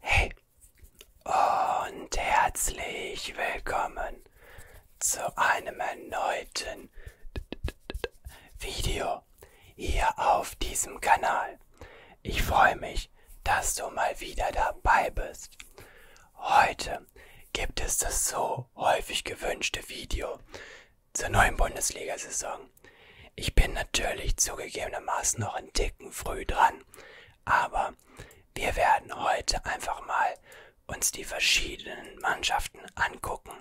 Hey und herzlich willkommen zu einem erneuten Video hier auf diesem Kanal. Ich freue mich, dass du mal wieder dabei bist. Heute gibt es das so häufig gewünschte Video zur neuen Bundesliga-Saison. Ich bin natürlich zugegebenermaßen noch einen Ticken früh dran, aber wir werden heute einfach mal uns die verschiedenen Mannschaften angucken.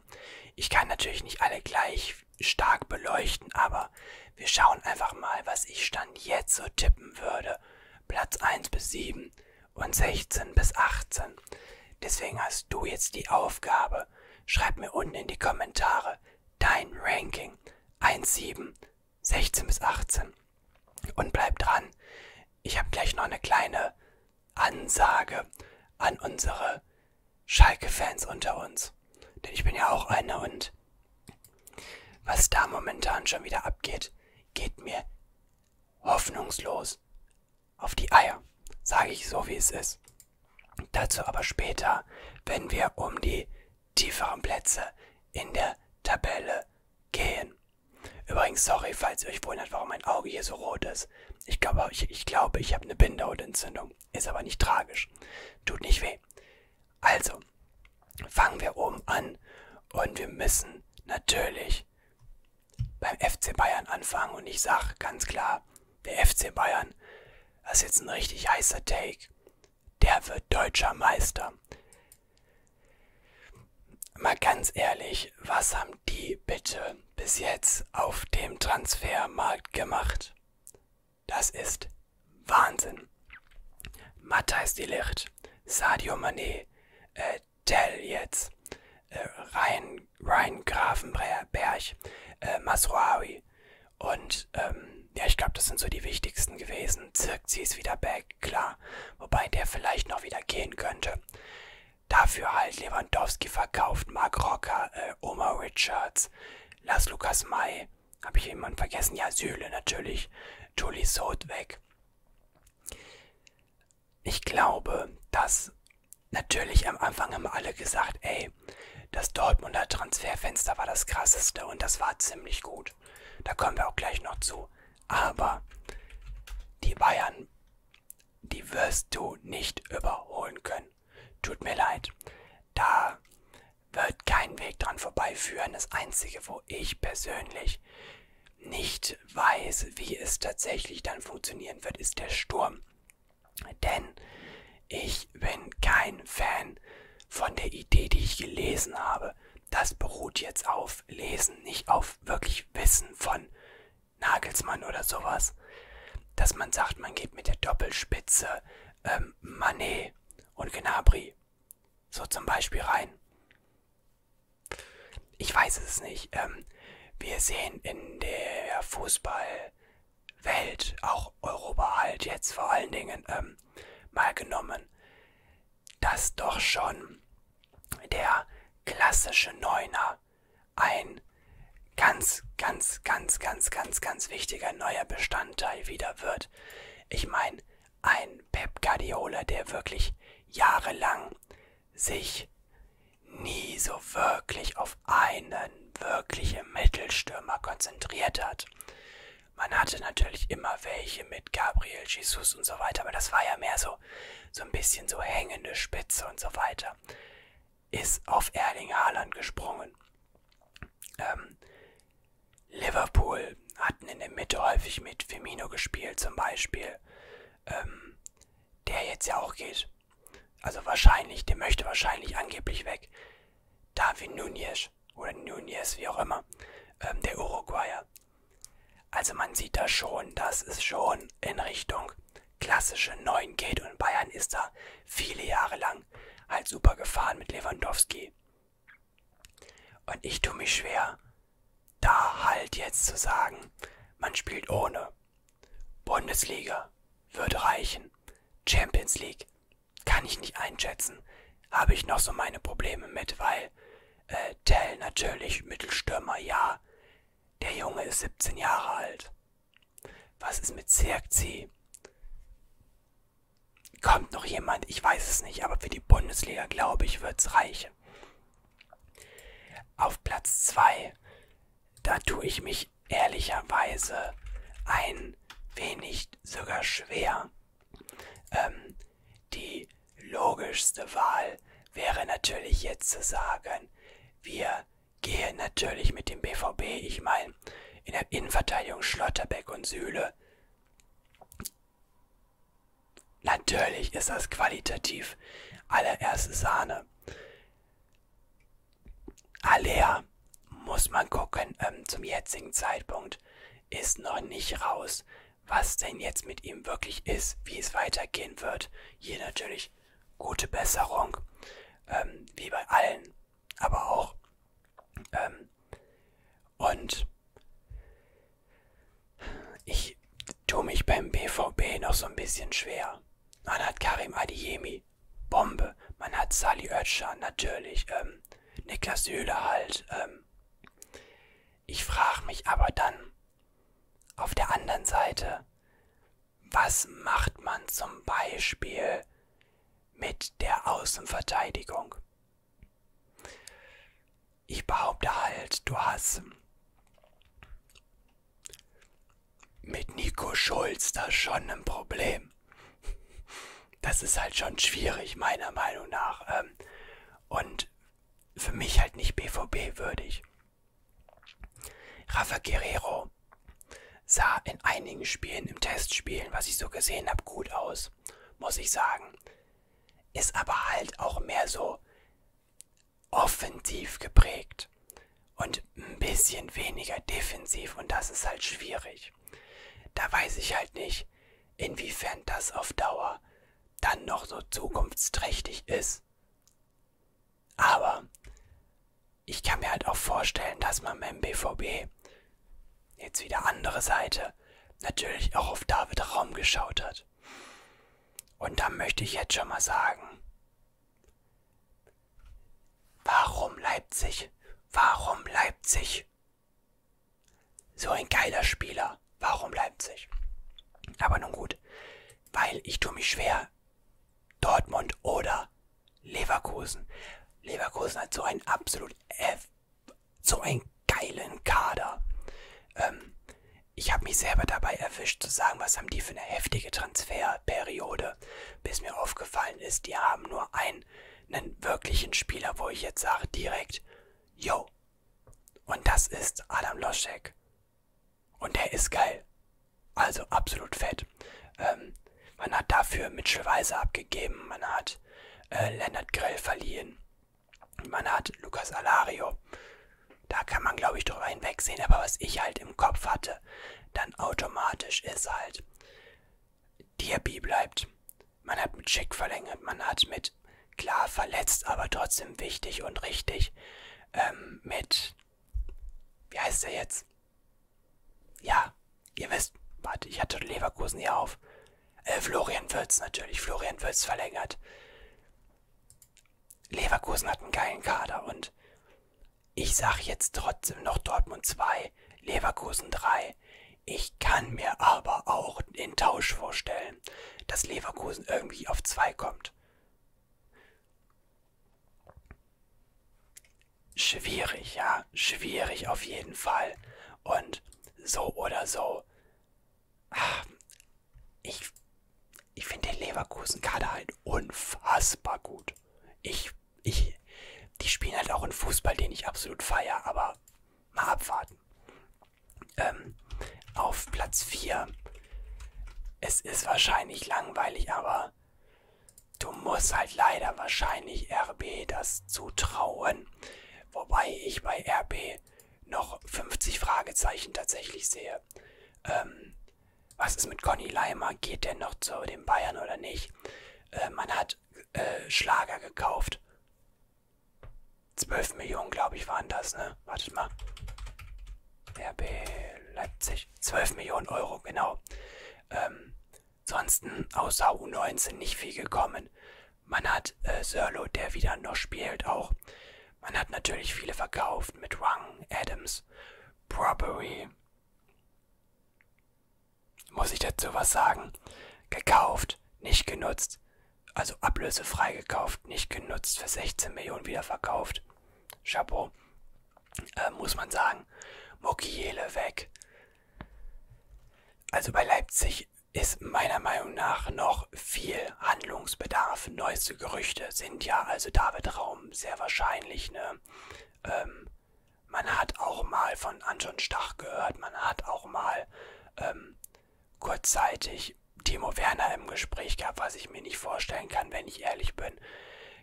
Ich kann natürlich nicht alle gleich stark beleuchten, aber wir schauen einfach mal, was ich stand jetzt so tippen würde. Platz 1 bis 7 und 16 bis 18. Deswegen hast du jetzt die Aufgabe. Schreib mir unten in die Kommentare, dein Ranking 1,7, 16 bis 18. Und bleib dran, ich habe gleich noch eine kleine Ansage an unsere Schalke-Fans unter uns. Denn ich bin ja auch einer und was da momentan schon wieder abgeht, geht mir hoffnungslos auf die Eier. Sage ich so, wie es ist. Dazu aber später, wenn wir um die tieferen Plätze in der Tabelle gehen. Übrigens, sorry, falls ihr euch wundert, warum mein Auge hier so rot ist. Ich glaube, ich, ich, glaube, ich habe eine Bindehautentzündung. Ist aber nicht tragisch. Tut nicht weh. Also, fangen wir oben an und wir müssen natürlich beim FC Bayern anfangen und ich sage ganz klar, der FC Bayern, das ist jetzt ein richtig heißer Take, der wird deutscher Meister. Mal ganz ehrlich, was haben die bitte bis jetzt auf dem Transfermarkt gemacht? Das ist Wahnsinn. Matthijs Delicht, Sadio Mané, äh, Tell jetzt, äh, Ryan, Ryan Grafenberg, äh, Masroawi und ähm, ja, ich glaube, das sind so die wichtigsten gewesen. Zirkzi ist wieder back, klar. Wobei der vielleicht noch wieder gehen könnte. Dafür halt Lewandowski verkauft, Mark Rocker, äh, Omar Richards, Lars Lukas May. Habe ich jemanden vergessen? Ja, Süle natürlich. Julie Soth weg. Ich glaube, dass natürlich am Anfang haben alle gesagt, ey, nee, das Dortmunder Transferfenster war das krasseste und das war ziemlich gut. Da kommen wir auch gleich noch zu. Aber die Bayern, die wirst du nicht überholen können. Tut mir leid. Da wird kein Weg dran vorbeiführen. Das Einzige, wo ich persönlich nicht weiß, wie es tatsächlich dann funktionieren wird, ist der Sturm. Denn ich bin kein Fan von der Idee, die ich gelesen habe. Das beruht jetzt auf Lesen, nicht auf wirklich Wissen von Nagelsmann oder sowas. Dass man sagt, man geht mit der Doppelspitze ähm, Manet und Gnabry so zum Beispiel rein. Ich weiß es nicht. Ähm, wir sehen in der Fußball Welt, auch Europa halt jetzt vor allen Dingen ähm, mal genommen, dass doch schon der klassische Neuner ein ganz, ganz, ganz, ganz, ganz, ganz wichtiger neuer Bestandteil wieder wird. Ich meine, ein Pep Guardiola, der wirklich jahrelang sich nie so wirklich auf einen wirklichen Mittelstürmer konzentriert hat. Man hatte natürlich immer welche mit Gabriel, Jesus und so weiter, aber das war ja mehr so, so ein bisschen so hängende Spitze und so weiter. Ist auf Erling Haaland gesprungen. Ähm, Liverpool hatten in der Mitte häufig mit Firmino gespielt, zum Beispiel, ähm, der jetzt ja auch geht. Also wahrscheinlich, der möchte wahrscheinlich angeblich weg. Darwin Nunez Nunes oder Nunes, wie auch immer, ähm, der Uruguayer. Also man sieht da schon, dass es schon in Richtung klassische 9 geht und Bayern ist da viele Jahre lang halt super gefahren mit Lewandowski. Und ich tue mich schwer, da halt jetzt zu sagen, man spielt ohne. Bundesliga wird reichen. Champions League kann ich nicht einschätzen. Habe ich noch so meine Probleme mit, weil äh, Tell natürlich Mittelstürmer, ja. Der Junge ist 17 Jahre alt. Was ist mit Zirkzi? Kommt noch jemand? Ich weiß es nicht, aber für die Bundesliga, glaube ich, wird's reichen. Auf Platz 2, da tue ich mich ich ehrlicherweise ein wenig sogar schwer. Ähm, die logischste Wahl wäre natürlich jetzt zu sagen, wir gehen natürlich mit dem BVB. Ich meine, in der Innenverteidigung Schlotterbeck und Süle. Natürlich ist das qualitativ allererste Sahne. Alea, muss man gucken, ähm, zum jetzigen Zeitpunkt ist noch nicht raus, was denn jetzt mit ihm wirklich ist, wie es weitergehen wird. Hier natürlich gute Besserung, ähm, wie bei allen, aber auch. Ähm, und ich tue mich beim BVB noch so ein bisschen schwer. Man hat Karim Adiemi, Bombe. Man hat Sally Oetscher, natürlich, ähm, Niklas Süle halt. Ähm. Ich frage mich aber dann auf der anderen Seite, was macht man zum Beispiel mit der Außenverteidigung? Ich behaupte halt, du hast mit Nico Schulz da schon ein Problem. Ähm, das ist halt schon schwierig, meiner Meinung nach. Ähm, und für mich halt nicht BVB würdig. Rafa Guerrero sah in einigen Spielen, im Testspielen, was ich so gesehen habe, gut aus, muss ich sagen. Ist aber halt auch mehr so offensiv geprägt und ein bisschen weniger defensiv und das ist halt schwierig. Da weiß ich halt nicht, inwiefern das auf Dauer dann noch so zukunftsträchtig ist. Aber ich kann mir halt auch vorstellen, dass man beim BVB, jetzt wieder andere Seite, natürlich auch auf David Raum geschaut hat. Und da möchte ich jetzt schon mal sagen, warum Leipzig? Warum Leipzig? So ein geiler Spieler. Warum Leipzig? Aber nun gut, weil ich tue mich schwer. Dortmund oder Leverkusen. Leverkusen hat so einen absolut F, so einen geilen Kader. Ähm, ich habe mich selber dabei erwischt zu sagen, was haben die für eine heftige Transferperiode, bis mir aufgefallen ist, die haben nur ein einen wirklichen Spieler, wo ich jetzt sage direkt, yo. Und das ist Adam Loschek. Und der ist geil. Also absolut fett. Ähm, man hat dafür Mitchell Weiser abgegeben, man hat äh, Leonard Grell verliehen, man hat Lucas Alario. Da kann man, glaube ich, drüber hinwegsehen. Aber was ich halt im Kopf hatte, dann automatisch ist halt, Diaby bleibt. Man hat mit Schick verlängert, man hat mit klar verletzt, aber trotzdem wichtig und richtig. Ähm, mit wie heißt er jetzt? Ja, ihr wisst, warte, ich hatte Leverkusen hier auf. Äh, Florian Wirtz natürlich, Florian Wirtz verlängert. Leverkusen hat einen geilen Kader und ich sage jetzt trotzdem noch Dortmund 2, Leverkusen 3. Ich kann mir aber auch den Tausch vorstellen, dass Leverkusen irgendwie auf 2 kommt. Schwierig, ja, schwierig auf jeden Fall. Und so oder so. Ach, ich ich finde den Leverkusen-Kader halt unfassbar gut. Ich ich, die spielen halt auch einen Fußball, den ich absolut feier, aber mal abwarten. Ähm, auf Platz 4. Es ist wahrscheinlich langweilig, aber du musst halt leider wahrscheinlich RB das zutrauen. Wobei ich bei RB noch 50 Fragezeichen tatsächlich sehe. Ähm, was ist mit Conny Leimer? Geht der noch zu den Bayern oder nicht? Äh, man hat hat äh, Schlager gekauft. 12 Millionen, glaube ich, waren das, ne? Wartet mal. RB Leipzig. 12 Millionen Euro, genau. Ähm, ansonsten außer U19 nicht viel gekommen. Man hat äh, Sörlo, der wieder noch spielt, auch. Man hat natürlich viele verkauft mit Rung, Adams, Probery muss ich dazu was sagen? Gekauft, nicht genutzt, also ablösefrei gekauft, nicht genutzt, für 16 Millionen wieder verkauft. Chapeau, äh, muss man sagen. Mokiele weg. Also bei Leipzig ist meiner Meinung nach noch viel Handlungsbedarf. Neueste Gerüchte sind ja also David Raum sehr wahrscheinlich eine ähm, man hat auch mal von Anton Stach gehört, man hat auch mal ähm, kurzzeitig Timo Werner im Gespräch gehabt, was ich mir nicht vorstellen kann, wenn ich ehrlich bin.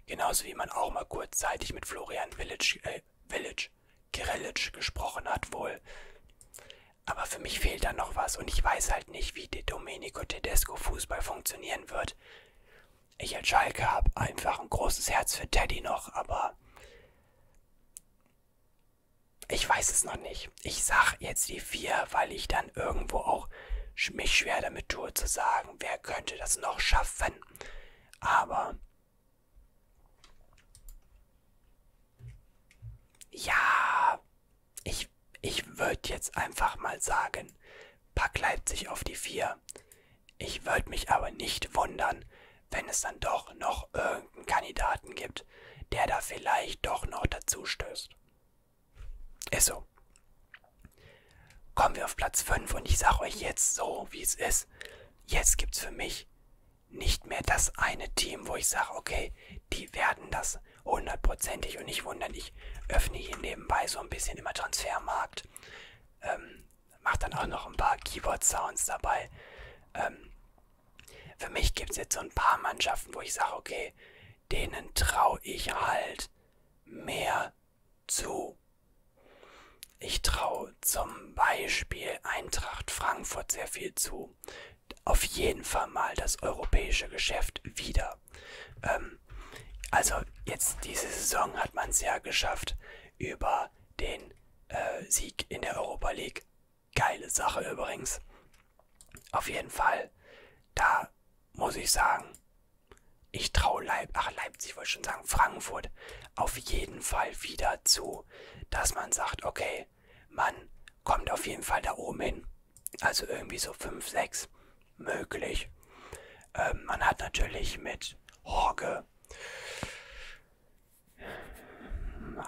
Genauso wie man auch mal kurzzeitig mit Florian Village, äh, Village, Kirillitsch gesprochen hat wohl. Aber für mich fehlt da noch was und ich weiß halt nicht, wie der Domenico Tedesco Fußball funktionieren wird. Ich als Schalke habe einfach ein großes Herz für Teddy noch, aber ich weiß es noch nicht. Ich sag jetzt die vier, weil ich dann irgendwo auch mich schwer damit tue zu sagen, wer könnte das noch schaffen. Aber ja, ich, ich würde jetzt einfach mal sagen, pack Leipzig auf die vier. Ich würde mich aber nicht wundern, wenn es dann doch noch irgendeinen Kandidaten gibt, der da vielleicht doch noch dazu stößt. Ist so. Kommen wir auf Platz 5 und ich sage euch jetzt so, wie es ist. Jetzt gibt es für mich nicht mehr das eine Team, wo ich sage, okay, die werden das hundertprozentig und nicht wundern. Ich öffne hier nebenbei so ein bisschen immer Transfermarkt. Ähm, macht dann auch noch ein paar Keyboard-Sounds dabei. Ähm, für mich gibt es jetzt so ein paar Mannschaften, wo ich sage, okay, denen traue ich halt mehr zu. Ich traue zum Beispiel Eintracht Frankfurt sehr viel zu. Auf jeden Fall mal das europäische Geschäft wieder. Ähm, also jetzt diese Saison hat man es ja geschafft, über den äh, Sieg in der Europa League. Geile Sache übrigens. Auf jeden Fall, da muss ich sagen, ich traue Leip Ach, Leipzig, wollte ich schon sagen, Frankfurt auf jeden Fall wieder zu, dass man sagt, okay, man kommt auf jeden Fall da oben hin. Also irgendwie so 5, 6 möglich. Ähm, man hat natürlich mit Horge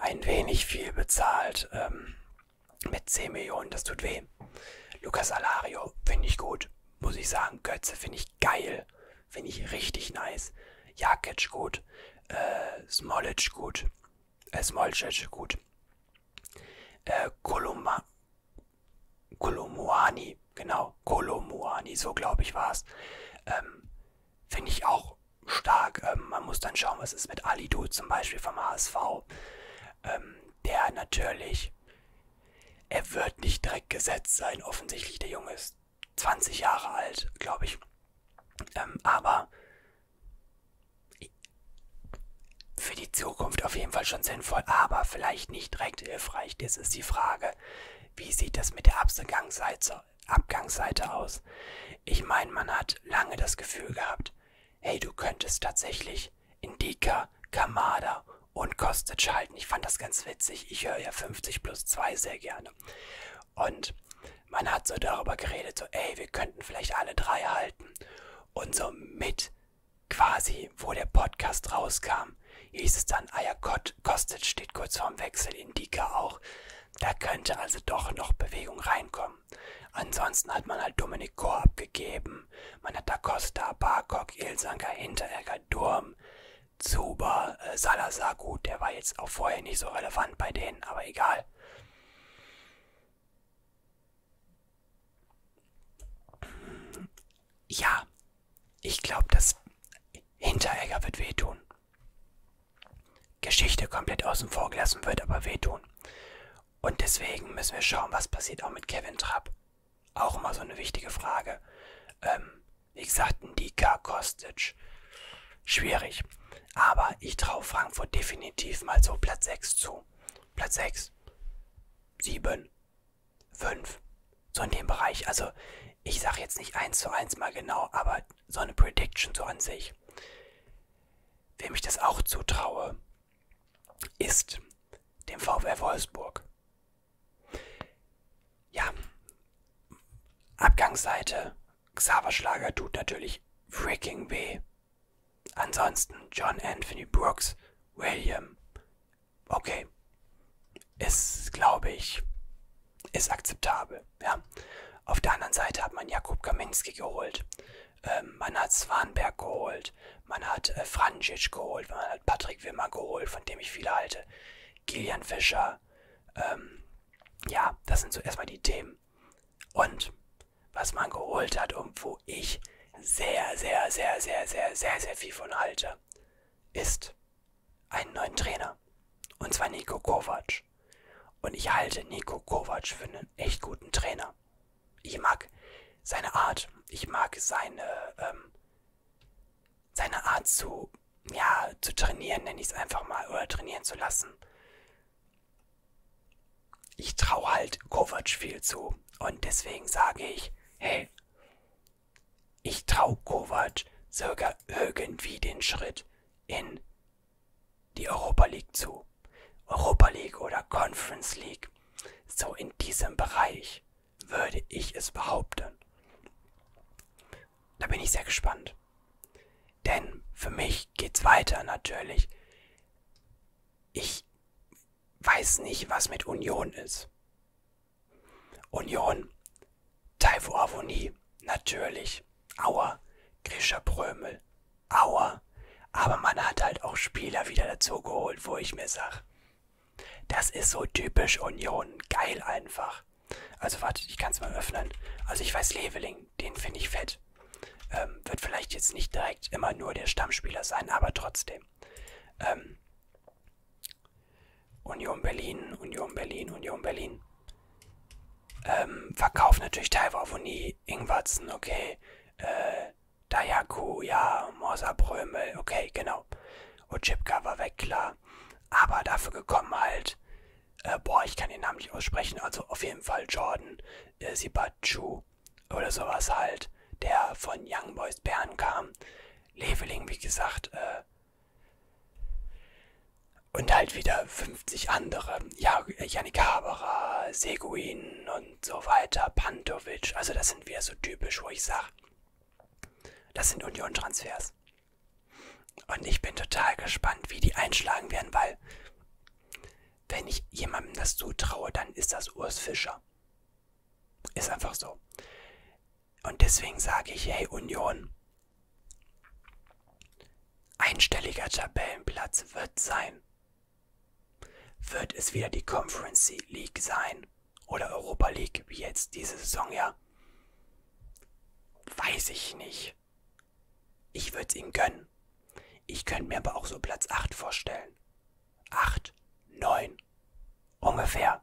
ein wenig viel bezahlt ähm, mit 10 Millionen. Das tut weh. Lucas Alario finde ich gut, muss ich sagen. Götze finde ich geil. Finde ich richtig nice. Jakic gut. Äh, Smolic gut. Äh, Smolcic gut. Äh, Koloma, Kolomuani, genau. Kolomuani, so glaube ich war es. Ähm, finde ich auch stark. Ähm, man muss dann schauen, was ist mit Alidu zum Beispiel vom HSV. Ähm, der natürlich, er wird nicht direkt gesetzt sein, offensichtlich. Der Junge ist 20 Jahre alt, glaube ich. Ähm, aber für die Zukunft auf jeden Fall schon sinnvoll, aber vielleicht nicht direkt hilfreich. Das ist die Frage, wie sieht das mit der Absetzungsseite Abgangsseite aus. Ich meine, man hat lange das Gefühl gehabt, hey, du könntest tatsächlich Indika, Kamada und Kostic schalten. Ich fand das ganz witzig. Ich höre ja 50 plus 2 sehr gerne. Und man hat so darüber geredet, so, ey, wir könnten vielleicht alle drei halten. Und so mit quasi, wo der Podcast rauskam, hieß es dann, ah ja, Kostic steht kurz vorm Wechsel, Indika auch. Da könnte also doch noch Bewegung reinkommen. Ansonsten hat man halt Dominik Kor abgegeben. Man hat Da Costa, Barkok, Ilsanker, Hinteregger, Durm, Zuber, äh, Salazar. Gut, der war jetzt auch vorher nicht so relevant bei denen, aber egal. Ja, ich glaube, dass Hinteregger wird wehtun. Geschichte komplett außen vor gelassen wird, aber wehtun. Und deswegen müssen wir schauen, was passiert auch mit Kevin Trapp. Auch immer so eine wichtige Frage. Ähm, wie gesagt, ein Dika Kostic. Schwierig. Aber ich traue Frankfurt definitiv mal so Platz 6 zu. Platz 6, 7, 5. So in dem Bereich. Also ich sage jetzt nicht eins zu eins mal genau, aber so eine Prediction so an sich. Wem ich das auch zutraue, ist dem VfL Wolfsburg. Ja, Abgangsseite, Xaver Schlager tut natürlich freaking weh. Ansonsten John Anthony Brooks, William. Okay. Ist, glaube ich, ist akzeptabel. Ja. Auf der anderen Seite hat man Jakub Kaminski geholt, ähm, man hat Swanberg geholt, man hat äh, Franjic geholt, man hat Patrick Wimmer geholt, von dem ich viele halte, Gillian Fischer. Ähm, ja, das sind so erstmal die Themen. Und was man geholt hat und wo ich sehr, sehr, sehr, sehr, sehr, sehr, sehr viel von halte, ist einen neuen Trainer. Und zwar Nico Kovac. Und ich halte Nico Kovac für einen echt guten Trainer. Ich mag seine Art. Ich mag seine, ähm, seine Art zu, ja, zu trainieren, nenne ich es einfach mal, oder trainieren zu lassen. Ich traue halt Kovac viel zu. Und deswegen sage ich, hey, ich traue Kovac sogar irgendwie den Schritt in die Europa League zu. Europa League oder Conference League. So in diesem Bereich würde ich es behaupten. Da bin ich sehr gespannt. Denn für mich geht's weiter natürlich. Ich weiß nicht, was mit Union ist. Union Taivo Avoni, natürlich. Auer, Grischer Prömel, Auer. Aber man hat halt auch Spieler wieder dazugeholt, wo ich mir sage, das ist so typisch Union, geil einfach. Also wartet, ich kann es mal öffnen. Also ich weiß Leveling, den finde ich fett. Ähm, wird vielleicht jetzt nicht direkt immer nur der Stammspieler sein, aber trotzdem. Ähm, Union Berlin, Union Berlin, Union Berlin. Ähm, verkauft natürlich Taiwo Avoni, Ingwatzen, okay. Äh, Dayaku, ja, Morsa Brömel, okay, genau. Ochipka war weg, klar. Aber dafür gekommen halt, äh, boah, ich kann den Namen nicht aussprechen, also auf jeden Fall Jordan, äh, Sibachu oder sowas halt, der von Young Boys Bern kam. Leveling, wie gesagt, äh, und halt wieder 50 andere. Ja, Yannick Haberer, Seguin und so weiter, Pantovic. Also das sind wieder so typisch, wo ich sage, das sind Union-Transfers. Und ich bin total gespannt, wie die einschlagen werden, weil wenn ich jemandem das zutraue, dann ist das Urs Fischer. Ist einfach so. Und deswegen sage ich, hey Union, Einstelliger Tabellenplatz wird sein. Wird es wieder die Conference League sein oder Europa League wie jetzt diese Saison ja? Weiß ich nicht. Ich würde es ihm gönnen. Ich könnte mir aber auch so Platz 8 vorstellen. 8, 9, ungefähr.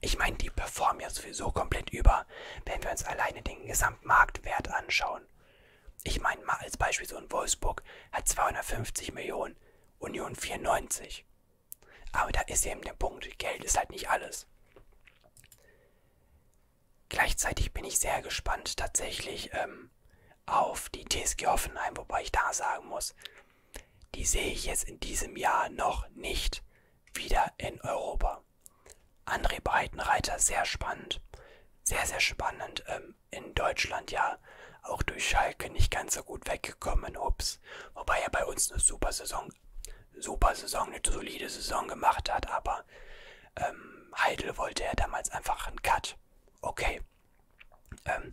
Ich meine, die performen ja sowieso komplett über, wenn wir uns alleine den gesamten Gesamtmarktwert anschauen. Ich meine mal als Beispiel so in Wolfsburg hat 250 Millionen, Union 94. Aber da ist eben der Punkt, Geld ist halt nicht alles. Gleichzeitig bin ich sehr gespannt tatsächlich ähm, auf die TSG Hoffenheim, wobei ich da sagen muss, die sehe ich jetzt in diesem Jahr noch nicht wieder in Europa. André Breitenreiter, sehr spannend. Sehr, sehr spannend. Ähm, in Deutschland ja auch durch Schalke nicht ganz so gut weggekommen. Ups. Wobei er bei uns eine super Saison, super Saison, eine solide Saison gemacht hat. Aber ähm, Heidel wollte er damals einfach einen Cut. Okay. Ähm,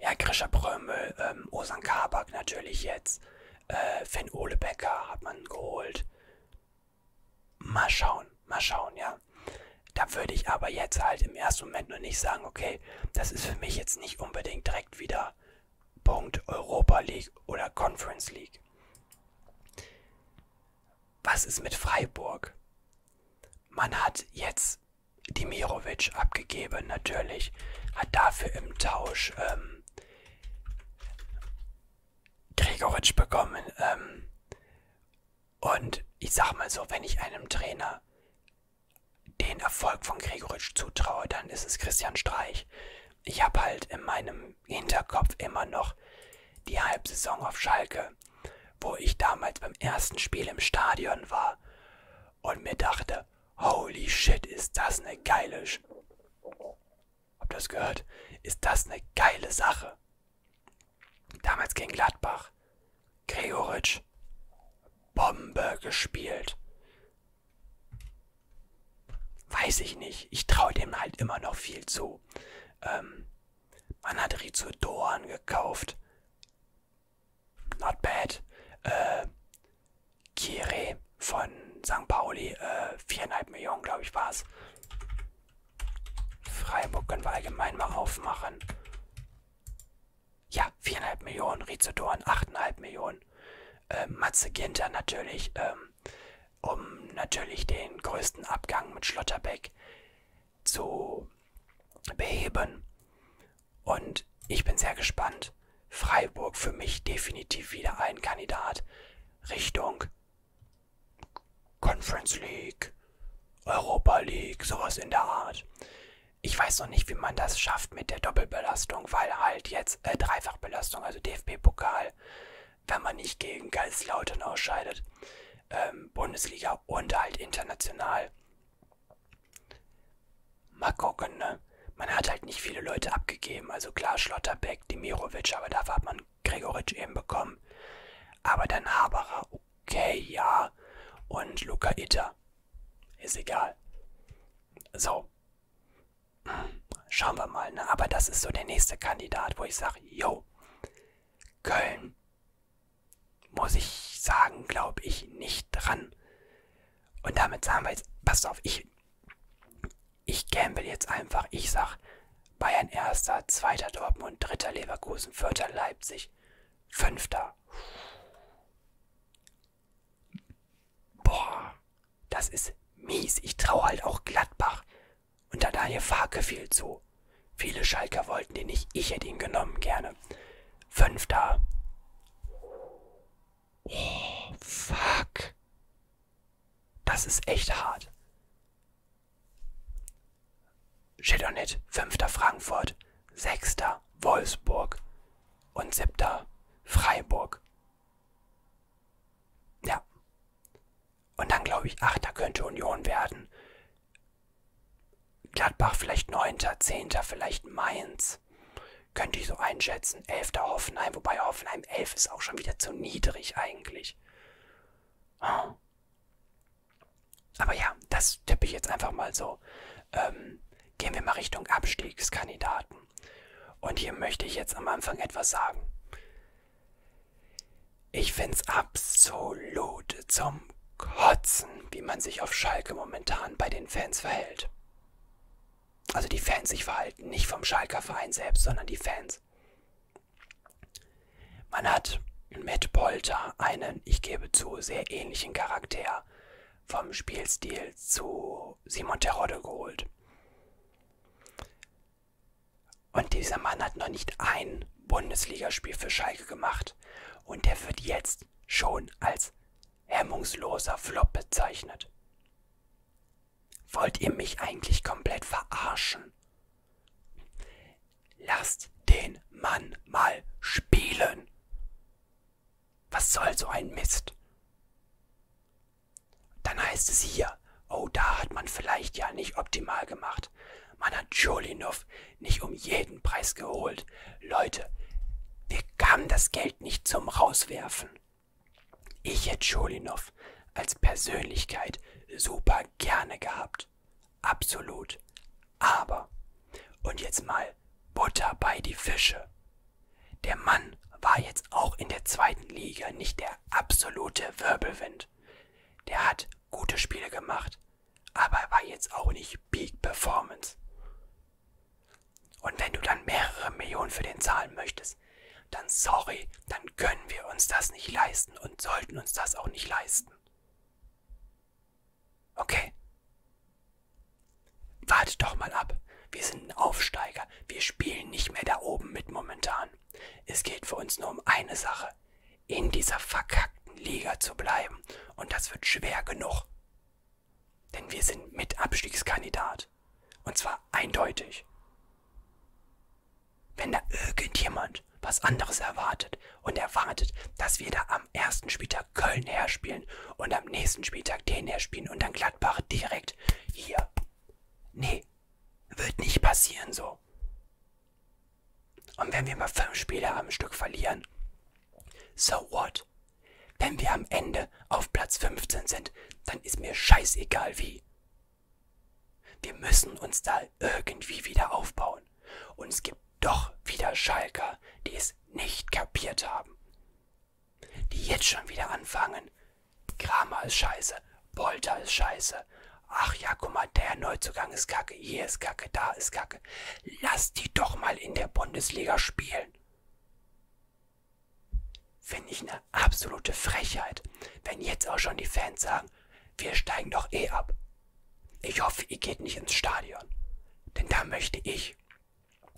ja, Grisha Brömel, ähm, Osan Kabak natürlich jetzt. Äh, Finn Olebecker hat man geholt. Mal schauen, mal schauen, ja. Da würde ich aber jetzt halt im ersten Moment nur nicht sagen, okay, das ist für mich jetzt nicht unbedingt direkt wieder Punkt Europa League oder Conference League. Was ist mit Freiburg? Man hat jetzt Dimirovic abgegeben, natürlich, hat dafür im Tausch ähm, Gregoritsch bekommen. Ähm, und ich sag mal so, wenn ich einem Trainer den Erfolg von Gregoritsch zutraue, dann ist es Christian Streich. Ich habe halt in meinem Hinterkopf immer noch die Halbsaison auf Schalke, wo ich damals beim ersten Spiel im Stadion war und mir dachte, holy shit, ist das eine geile Habt ihr das gehört? Ist das eine geile Sache? Damals gegen Gladbach. Gregoritsch. Bombe gespielt. Weiß ich nicht. Ich traue dem halt immer noch viel zu. Ähm, man hat Rizzo Doan gekauft. Not bad. Äh, Kire von St. Pauli. Äh, viereinhalb äh, Millionen, glaube ich, war es. Freiburg können wir allgemein mal aufmachen. Ja, viereinhalb Millionen. Rizodoren, achteinhalb Millionen. Äh, Matze Ginter natürlich, ähm, um natürlich den größten Abgang mit Schlotterbeck zu beheben. Und ich bin sehr gespannt. Freiburg für mich definitiv wieder ein Kandidat Richtung Conference League, Europa League, sowas in der Art. Ich weiß noch nicht, wie man das schafft mit der Doppelbelastung, weil halt jetzt äh, Dreifachbelastung, also DFB-Pokal, wenn man nicht gegen Kaiserslautern ausscheidet, ähm, Bundesliga und halt international. Mal gucken, ne? Man hat halt nicht viele Leute abgegeben, also klar Schlotterbeck, Dimirovic, aber dafür hat man Gregoritsch eben bekommen. Aber dann Haberer, okay, ja. Und Luca Itter. Ist egal. So. Schauen wir mal, ne? Aber das ist so der nächste Kandidat, wo ich sage, yo, Köln, muss ich sagen, glaube ich nicht dran. Und damit sagen wir jetzt, passt auf, ich ich gamble jetzt einfach. Ich sag Bayern erster, zweiter Dortmund, dritter Leverkusen, vierter Leipzig, fünfter. Boah, das ist mies. Ich traue halt auch Gladbach und da Daniel Farke viel zu. Viele Schalker wollten den nicht. Ich hätte ihn genommen gerne. Fünfter. Oh, fuck. Das ist echt hart. Shit on it, fünfter Frankfurt, sechster Wolfsburg und siebter Freiburg. Ja. Und dann glaube ich, achter könnte Union werden. Gladbach vielleicht neunter, zehnter, vielleicht Mainz. Könnte ich so einschätzen. Elfter Hoffenheim, wobei Hoffenheim elf ist auch schon wieder zu niedrig eigentlich nicht. Oh. Aber ja, das tippe ich jetzt einfach mal so. Ähm, gehen wir mal Richtung Abstiegskandidaten. Und hier möchte ich jetzt am Anfang etwas sagen. Ich finde es absolut zum Kotzen, wie man sich auf Schalke momentan bei den Fans verhält. Also die Fans sich verhalten, nicht vom Schalker Verein selbst, sondern die Fans. Man hat mit Polter einen, ich gebe zu, sehr ähnlichen Charakter vom Spielstil zu Simon Terodde geholt. Und dieser Mann hat noch nicht ein Bundesligaspiel für Schalke gemacht. Und der wird jetzt schon als hemmungsloser Flop bezeichnet. Wollt ihr mich eigentlich komplett verarschen? Lasst den Mann mal spielen. Was soll so ein Mist? Dann heißt es hier, oh, da hat man vielleicht ja nicht optimal gemacht. Man hat Jolinov nicht um jeden Preis geholt. Leute, wir kamen das Geld nicht zum Rauswerfen. Ich hätte Scholinov als Persönlichkeit super gerne gehabt. Absolut. Aber, und jetzt mal Butter bei die Fische. Der Mann war jetzt auch in der zweiten Liga nicht der absolute Wirbelwind. Der hat gute Spiele gemacht, aber er war jetzt auch nicht Peak Performance. Und wenn du dann mehrere Millionen für den zahlen möchtest, ist, dann sorry, dann können wir uns das nicht leisten und sollten uns das auch nicht leisten. Okay. Wartet doch mal ab. Wir sind ein Aufsteiger. Wir spielen nicht mehr da oben mit momentan. Es geht für uns nur um eine Sache. In dieser verkackten Liga zu bleiben. Und das wird schwer genug. Denn wir sind mit Abstiegskandidat. Und zwar eindeutig. Wenn da irgendjemand was anderes erwartet und erwartet, dass wir da am ersten Spieltag Köln herspielen und am nächsten Spieltag den herspielen und dann Gladbach direkt hier. Nee, wird nicht passieren so. Und wenn wir mal fünf Spiele am Stück verlieren, so what? Wenn wir am Ende auf Platz 15 sind, dann ist mir scheißegal wie. Wir müssen uns da irgendwie wieder aufbauen. Und es gibt doch wieder Schalker, die es nicht kapiert haben. Die jetzt schon wieder anfangen. Kramer ist scheiße, Bolter ist scheiße. Ach ja, guck mal, der Neuzugang ist kacke, hier ist kacke, da ist kacke. Lass die doch mal in der Bundesliga spielen. Finde ich ein absolute Frechheit, wenn jetzt auch schon die Fans sagen, wir steigen doch eh ab. Ich hoffe, ihr geht nicht ins Stadion, denn da möchte ich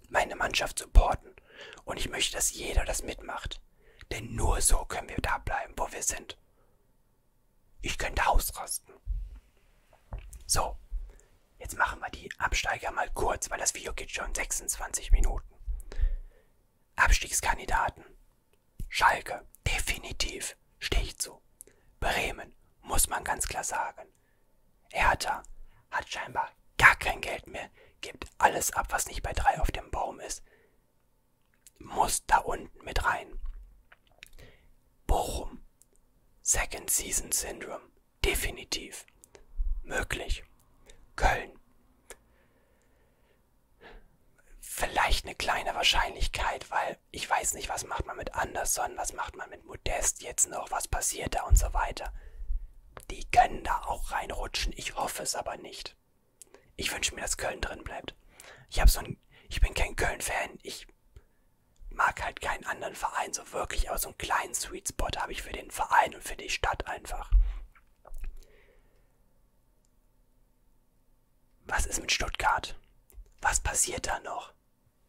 meine Mannschaft supporten und ich möchte, dass jeder das mitmacht, denn nur so können wir da bleiben, wo wir sind. Ich könnte ausrasten. So, jetzt machen wir die Absteiger mal kurz, weil das Video geht schon 26 Minuten. Abstiegskandidaten. Schalke, definitiv, stehe ich zu. Bremen, muss man ganz klar sagen. Hertha hat scheinbar gar kein Geld mehr, gibt alles ab, was nicht bei drei auf dem Baum ist. Muss da unten mit rein. Bochum, Second Season Syndrome, definitiv. Möglich. Köln. Vielleicht eine kleine Wahrscheinlichkeit, weil ich weiß nicht, was macht man mit Anderson, was macht man mit Modest jetzt noch, was passiert da und so weiter. Die können da auch reinrutschen, ich hoffe es aber nicht. Ich wünsche mir, dass Köln drin bleibt. Ich, hab so ein, ich bin kein Köln-Fan, ich mag halt keinen anderen Verein so wirklich, aber so einen kleinen Sweet Spot habe ich für den Verein und für die Stadt einfach. Was ist mit Stuttgart? Was passiert da noch?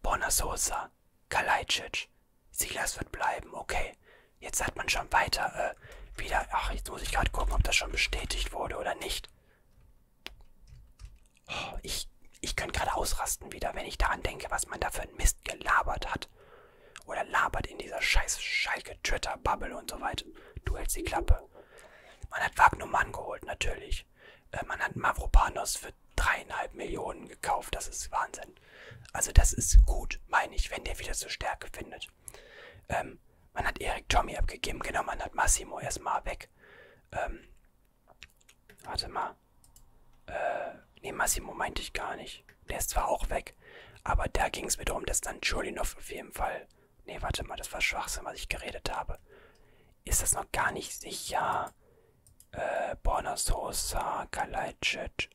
Borna Sosa, Kalajdzic, Silas wird bleiben, okay. Jetzt hat man schon weiter, äh, wieder, ach, jetzt muss ich gerade gucken, ob das schon bestätigt wurde oder nicht. Oh, ich, ich könnte gerade ausrasten wieder, wenn ich daran denke, was man da für einen Mist gelabert hat. Oder labert in dieser scheiß Schalke-Twitter-Bubble und so weiter. Du hältst die Klappe. Man hat Wagnumann geholt, natürlich. Äh, man hat Mavropanos für dreieinhalb Millionen gekauft. Das ist Wahnsinn. Also das ist gut, meine ich, wenn der wieder so Stärke findet. Ähm, man hat Erik Tommy abgegeben. Genau, man hat Massimo erstmal weg. Ähm, warte mal. Äh, nee, Massimo meinte ich gar nicht. Der ist zwar auch weg, aber da ging es mir darum, dass dann Chulinov auf jeden Fall Nee, warte mal, das war Schwachsinn, was ich geredet habe. Ist das noch gar nicht sicher? Äh, Bornasosa, Kalajdzic.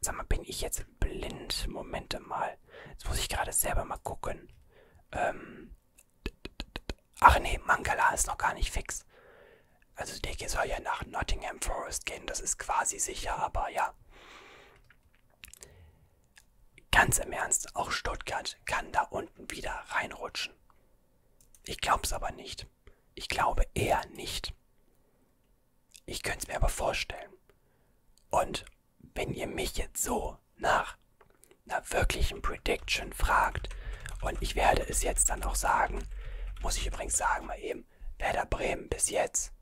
Sag mal, bin ich jetzt blind? Momente mal. Jetzt muss ich gerade selber mal gucken. Ähm. Ach nee, Mangala ist noch gar nicht fix. Also der soll ja nach Nottingham Forest gehen, das ist quasi sicher, aber ja. Ganz im Ernst, auch Stuttgart kann da unten wieder reinrutschen. Ich glaub's aber nicht. Ich glaube eher nicht. Ich könnte es mir aber vorstellen. Und wenn ihr mich jetzt so nach einer wirklichen Prediction fragt, und ich werde es jetzt dann auch sagen, muss ich übrigens sagen mal eben, Werder Bremen bis jetzt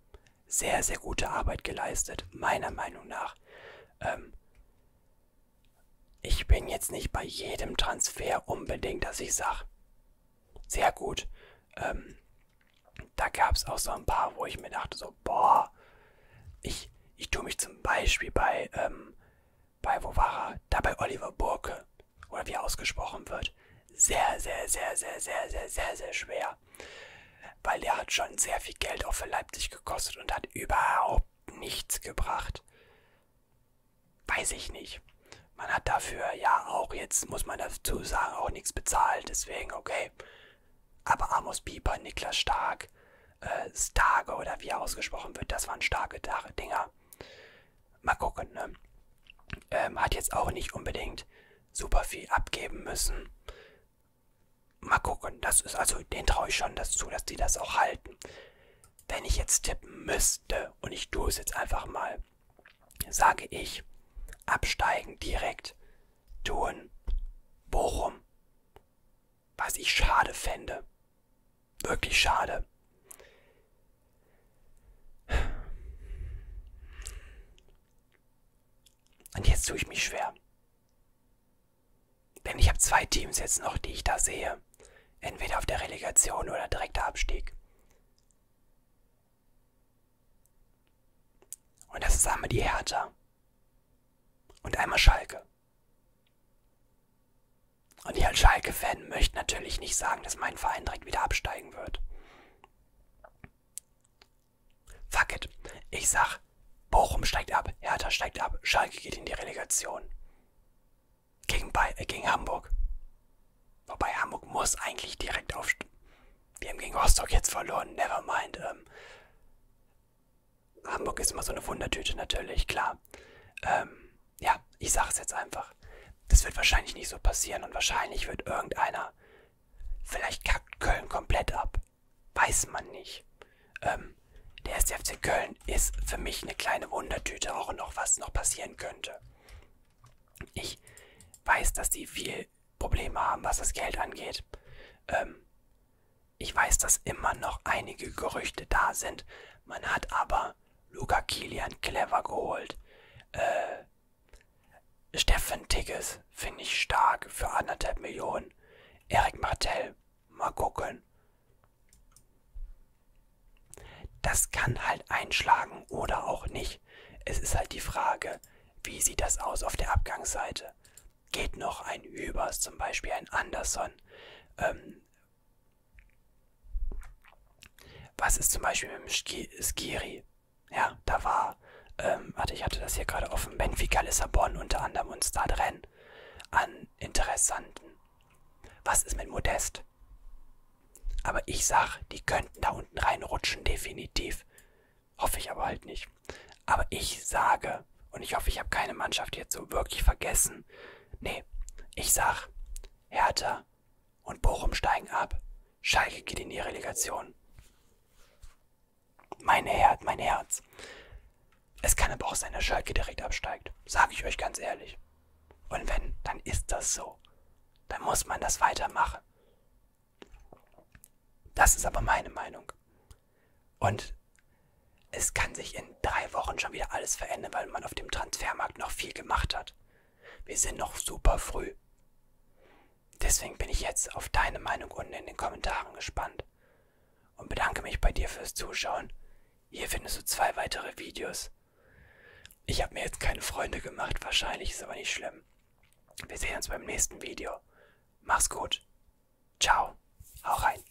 sehr, sehr gute Arbeit geleistet, meiner Meinung nach. Ähm, ich bin jetzt nicht bei jedem Transfer unbedingt, dass ich sage, sehr gut. Ähm, da gab es auch so ein paar, wo ich mir dachte, so, boah, ich, ich tue mich zum Beispiel bei, ähm, bei wo war er? Da bei Oliver Burke, oder wie er ausgesprochen wird, sehr, sehr, sehr, sehr, sehr, sehr, sehr, sehr schwer. Weil er hat schon sehr viel Geld auch für Leipzig gekostet und hat überhaupt nichts gebracht. Weiß ich nicht. Man hat dafür ja auch, jetzt muss man dazu sagen, auch nichts bezahlt, deswegen okay. Aber Amos Pieper, Niklas Stark, äh, Starke oder wie er ausgesprochen wird, das waren starke Dinger. Mal gucken, ne? Ähm, hat jetzt auch nicht unbedingt super viel abgeben müssen. Mal gucken, das ist also, den traue ich schon das zu, dass die das auch halten. Wenn ich jetzt tippen müsste, und ich tue es jetzt einfach mal, sage ich, absteigen direkt, tun, Bochum. Was ich schade fände. Wirklich schade. Und jetzt tue ich mich schwer. Denn ich habe zwei Teams jetzt noch, die ich da sehe. Entweder auf der Relegation oder direkter Abstieg. Und das ist einmal die Hertha. Und einmal Schalke. Und ich als Schalke-Fan möchte natürlich nicht sagen, dass mein Verein direkt wieder absteigen wird. Fuck it. Ich sag, Bochum steigt ab, Hertha steigt ab, Schalke geht in die Relegation. Gegen, Bay äh, gegen Hamburg. Wobei Hamburg muss eigentlich direkt aufstehen. Wir haben gegen Rostock jetzt verloren, never mind. Ähm, Hamburg ist immer so eine Wundertüte natürlich, klar. Ähm, ja, ich sage es jetzt einfach. Das wird wahrscheinlich nicht so passieren und wahrscheinlich wird irgendeiner, vielleicht kackt Köln komplett ab weiß man nicht. Ähm, der erste FC Köln ist für mich eine kleine Wundertüte, auch noch was noch passieren könnte. Ich weiß, dass die viel Probleme haben, was das Geld angeht. Ähm, ich weiß, dass immer noch einige Gerüchte da sind. Man hat aber Luca Kilian clever geholt. Äh, Steffen Tigges Smith finde ich stark für anderthalb Millionen. Eric Martel, mal gucken. Das kann halt einschlagen oder auch nicht. Es ist halt die Frage, wie sieht das aus auf der Abgangsseite? Geht noch ein Übers, zum Beispiel ein Anderson? Ähm, was ist zum Beispiel mit dem Skiri? Ja, da war ähm, warte, ich hatte das hier gerade offen, Benfica Lissabon unter anderem und da drin an Interessanten. Was ist mit Modest? Aber ich sag, die könnten da unten reinrutschen, definitiv. Hoffe ich aber halt nicht. Aber ich sage, und ich hoffe, ich habe keine Mannschaft jetzt so wirklich vergessen. Nee, ich sag, Hertha und Bochum steigen ab. Schalke geht in die Relegation. Mein Herz, mein Herz. Es kann aber auch sein, dass Schalke direkt absteigt. Sage ich euch ganz ehrlich. Und wenn, dann ist das so. Dann muss man das weitermachen. Das ist aber meine Meinung. Und es kann sich in drei Wochen schon wieder alles verändern, weil man auf dem Transfermarkt noch viel gemacht hat. Wir sind noch super früh. Deswegen bin ich jetzt auf deine Meinung unten in den Kommentaren gespannt und bedanke mich bei dir fürs Zuschauen. Hier findest du zwei weitere Videos. Ich habe mir jetzt keine Freunde gemacht, wahrscheinlich ist aber nicht schlimm. Wir sehen uns beim nächsten Video. Mach's gut. Ciao. Hau rein.